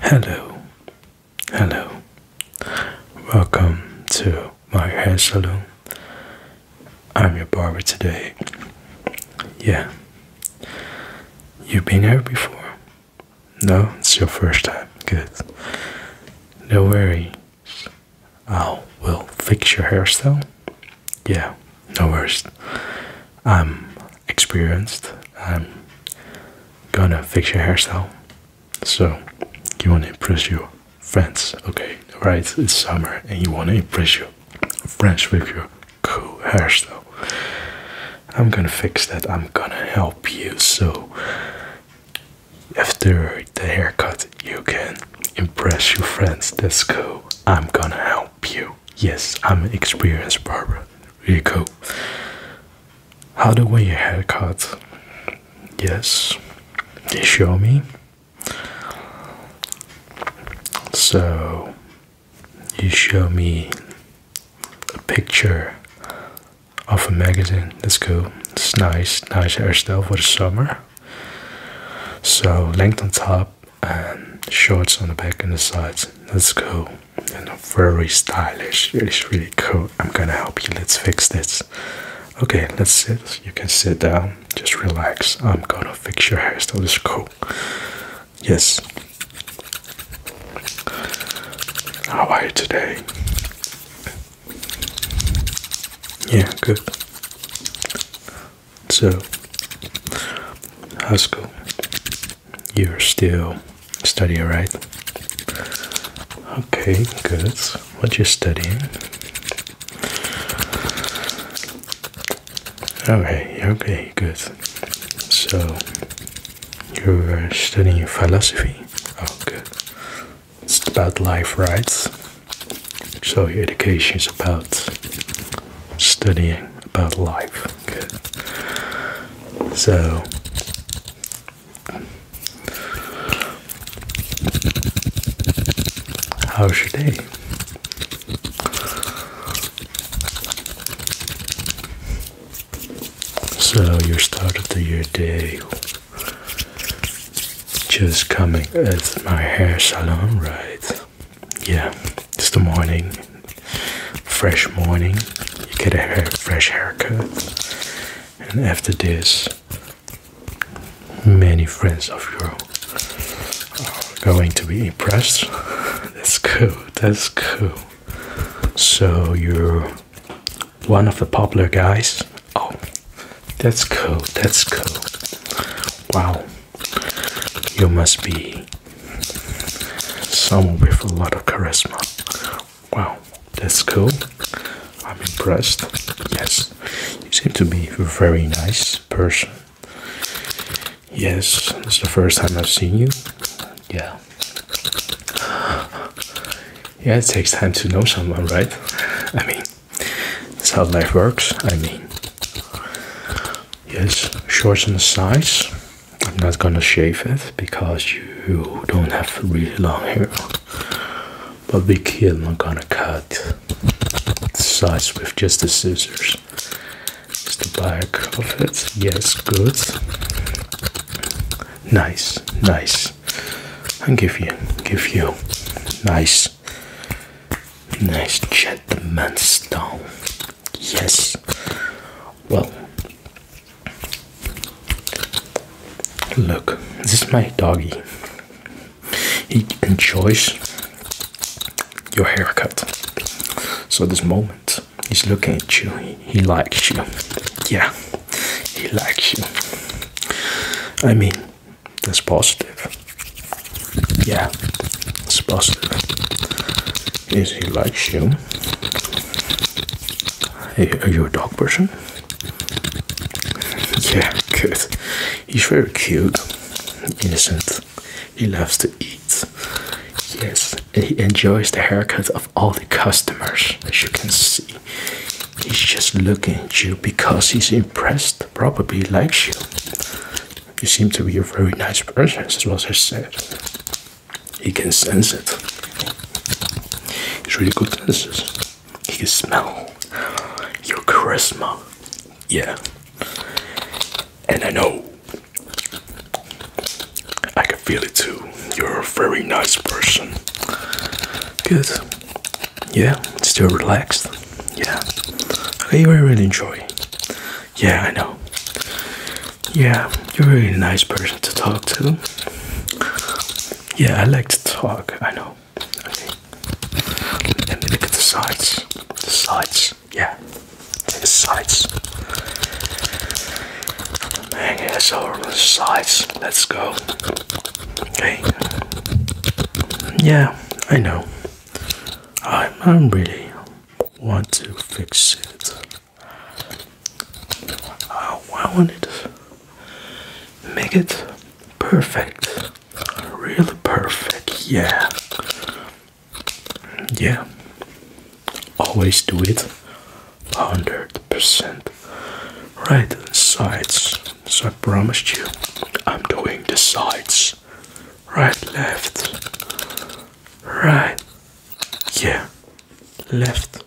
Hello, hello, welcome to my hair salon. I'm your barber today. Yeah, you've been here before? No, it's your first time. Good. No worries, I will fix your hairstyle. Yeah, no worries. I'm experienced. I'm gonna fix your hairstyle. So, you wanna impress your friends, okay? Right? It's summer and you wanna impress your friends with your cool hairstyle. I'm gonna fix that. I'm gonna help you. So, after the haircut, you can impress your friends. That's cool. I'm gonna help Pew. Yes, I'm an experienced barber. Really cool. How do you want your haircut? Yes, show me. So you show me a picture of a magazine. That's cool. It's nice, nice hairstyle for the summer. So length on top, um, shorts on the back and the sides. That's cool and very stylish. It's really cool. I'm gonna help you. Let's fix this. Okay, let's sit. You can sit down. Just relax. I'm gonna fix your hairstyle. It's cool. Yes. How are you today? Yeah, good. So, high school, you're still studying, right? Okay, good. What you studying? Okay, okay, good. So, you're studying philosophy? Oh, good. It's about life, right? So, your education is about studying about life. So how's your day? So you started the your day just coming at my hair salon, right? yeah, it's the morning, fresh morning. You get a fresh haircut, and after this, many friends of yours are going to be impressed. That's cool. That's cool. So you're one of the popular guys. Oh, that's cool. That's cool. Wow. You must be someone with a lot of charisma. Wow. That's cool. I'm impressed. Yes. You seem to be a very nice person. Yes. It's the first time I've seen you. Yeah. Yeah, it takes time to know someone, right? I mean, that's how knife works, I mean. Yes, shorten the sides. I'm not gonna shave it because you don't have really long hair. But we kid, I'm gonna cut the sides with just the scissors. It's the back of it. Yes, good. Nice, nice. And give you, give you nice Yes. Nice gentleman stone. Yes. Well, look, this is my doggy. He enjoys your haircut. So, this moment, he's looking at you, he likes you. Yeah, he likes you. I mean, that's positive. Yeah, it's positive. Is he likes you? Are you a dog person? Yeah, good. He's very cute, innocent. He loves to eat. Yes, he enjoys the haircut of all the customers, as you can see. He's just looking at you because he's impressed, probably likes you. You seem to be a very nice person, as was I said. He can sense it. He's really good senses. He can smell your charisma. Yeah. And I know I can feel it too. You're a very nice person. Good yeah still relaxed yeah okay you really enjoy yeah i know yeah you're a really nice person to talk to yeah i like to talk i know okay let me look at the sides the sides yeah the sides Man has all sides. Let's go. Okay. Yeah, I know. I I really want to fix it. I want it. Make it perfect. Really perfect. Yeah. Yeah. Always do it. 100% right sides so i promised you i'm doing the sides right left right yeah left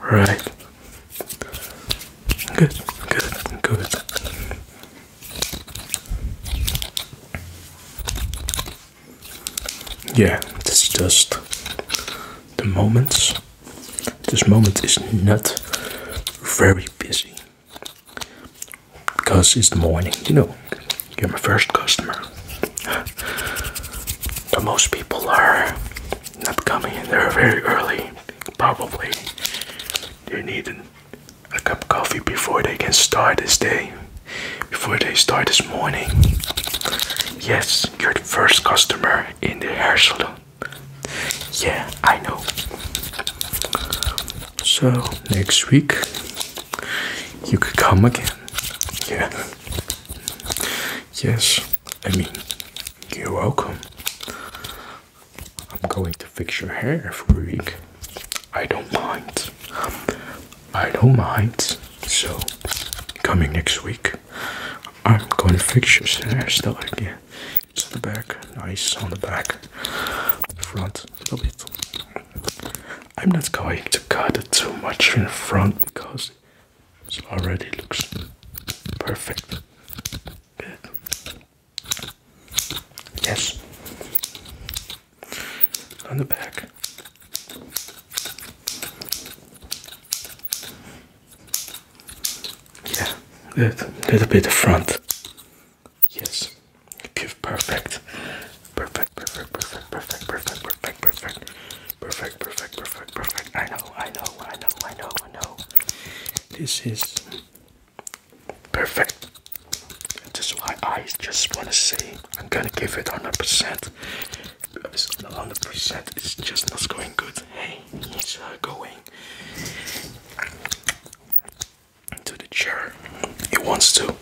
right good good good yeah, this is just the moments. This moment is not very busy because it's the morning, you know, you're my first customer. The most people are not coming in are very early, probably. They need a cup of coffee before they can start this day before they start this morning. Yes, you're the first customer in the hair salon. Yeah, I know. So, next week you could come again. Yeah. Yes, I mean, you're welcome. I'm going to fix your hair every week. I don't mind. I don't mind. So, coming next week, I'm going to fix your hairstyle again. It's on the back, nice on the back, front a little bit. I'm not going to cut it too much in front because it already looks perfect. Yes on the back. Yeah, a little bit of front. Yes, perfect. Perfect, perfect, perfect, perfect, perfect, perfect, perfect, perfect, perfect, perfect, perfect. I know, I know, I know, I know, I know. This is perfect. That's why I just want to say I'm gonna give it 100%. 100% it's just not going good. Hey, it's going to the chair. He wants to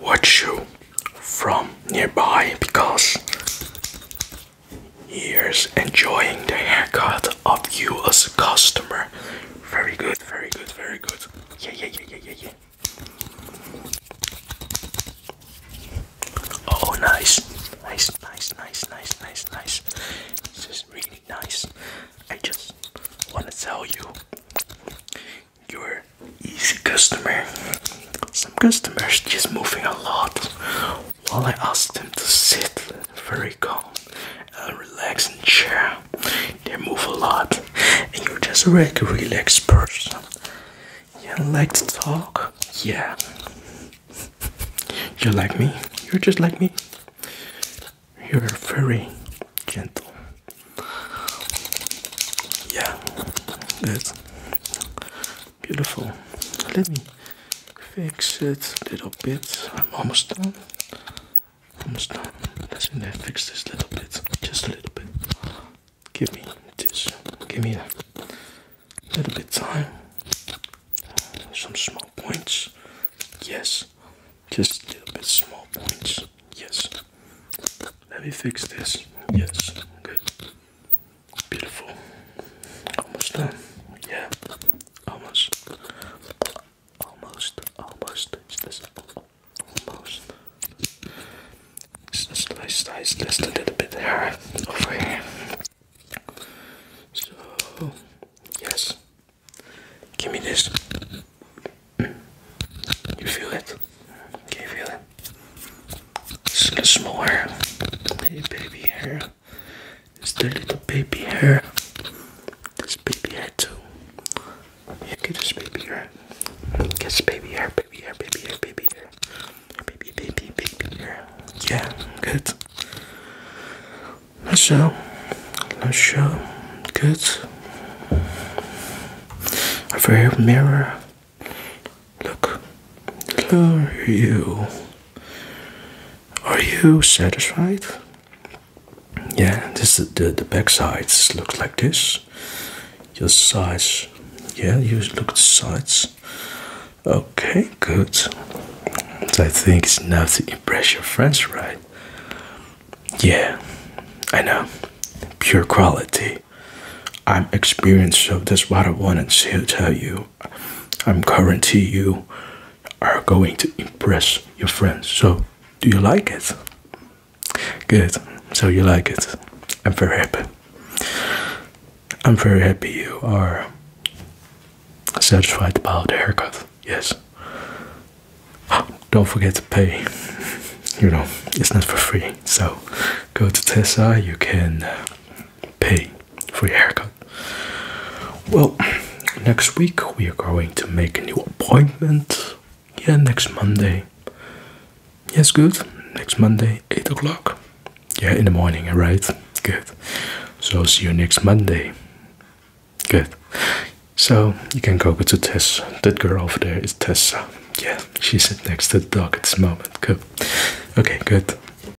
watch you from nearby because years enjoying the haircut of you as a customer. Very good, very good, very good. Yeah, yeah, yeah, yeah, yeah, yeah. Oh, nice, nice, nice, nice, nice, nice, nice. This is really nice. I just want to tell you, you're easy customer. Some customers just moving a lot. While I asked them to sit very calm, a uh, relaxing chair. They move a lot, and you're just a like relaxed person. You like to talk, yeah. You're like me. You're just like me. You're very gentle. Yeah, good. Beautiful. Let me fix it a little bit. I'm almost done almost done. Let's in there fix this little bit, just a little bit. Give me this, give me that. Little bit time. Some small points. Yes. Just a little bit small points. Yes. Let me fix this. Yes. Good. Beautiful. Almost done. Yeah. Almost. Almost, almost, it's this, almost. It's just, just, just, just a little bit hard over here. So, yes. Give me this. Mm. You feel it? Can you feel it? It's a little smaller. Hey, baby hair. It's the little baby hair. This baby hair too. Yeah, get this baby hair. Get this baby hair, baby hair, baby hair, baby hair. Baby, baby, baby hair. Yeah, good. Let's show. let show. Good. Over here, mirror. Look. Look you. Are you satisfied? yeah this is the the back sides looks like this your sides yeah you look at the sides okay good i think it's enough to impress your friends right yeah i know pure quality i'm experienced so that's what i wanted to tell you I'm guarantee you are going to impress your friends. So, do you like it? Good. So you like it. I'm very happy. I'm very happy you are satisfied about haircut. Yes. Don't forget to pay. You know, it's not for free. So, go to Tesla. You can. Uh, pay for your haircut. Well, next week we are going to make a new appointment. Yeah, next Monday. Yes, good. Next Monday, 8 o'clock. Yeah, in the morning, alright? Good. So, see you next Monday. Good. So, you can go to Tessa. That girl over there is Tessa. Yeah, she's next to the dog at this moment. Good. Okay, good.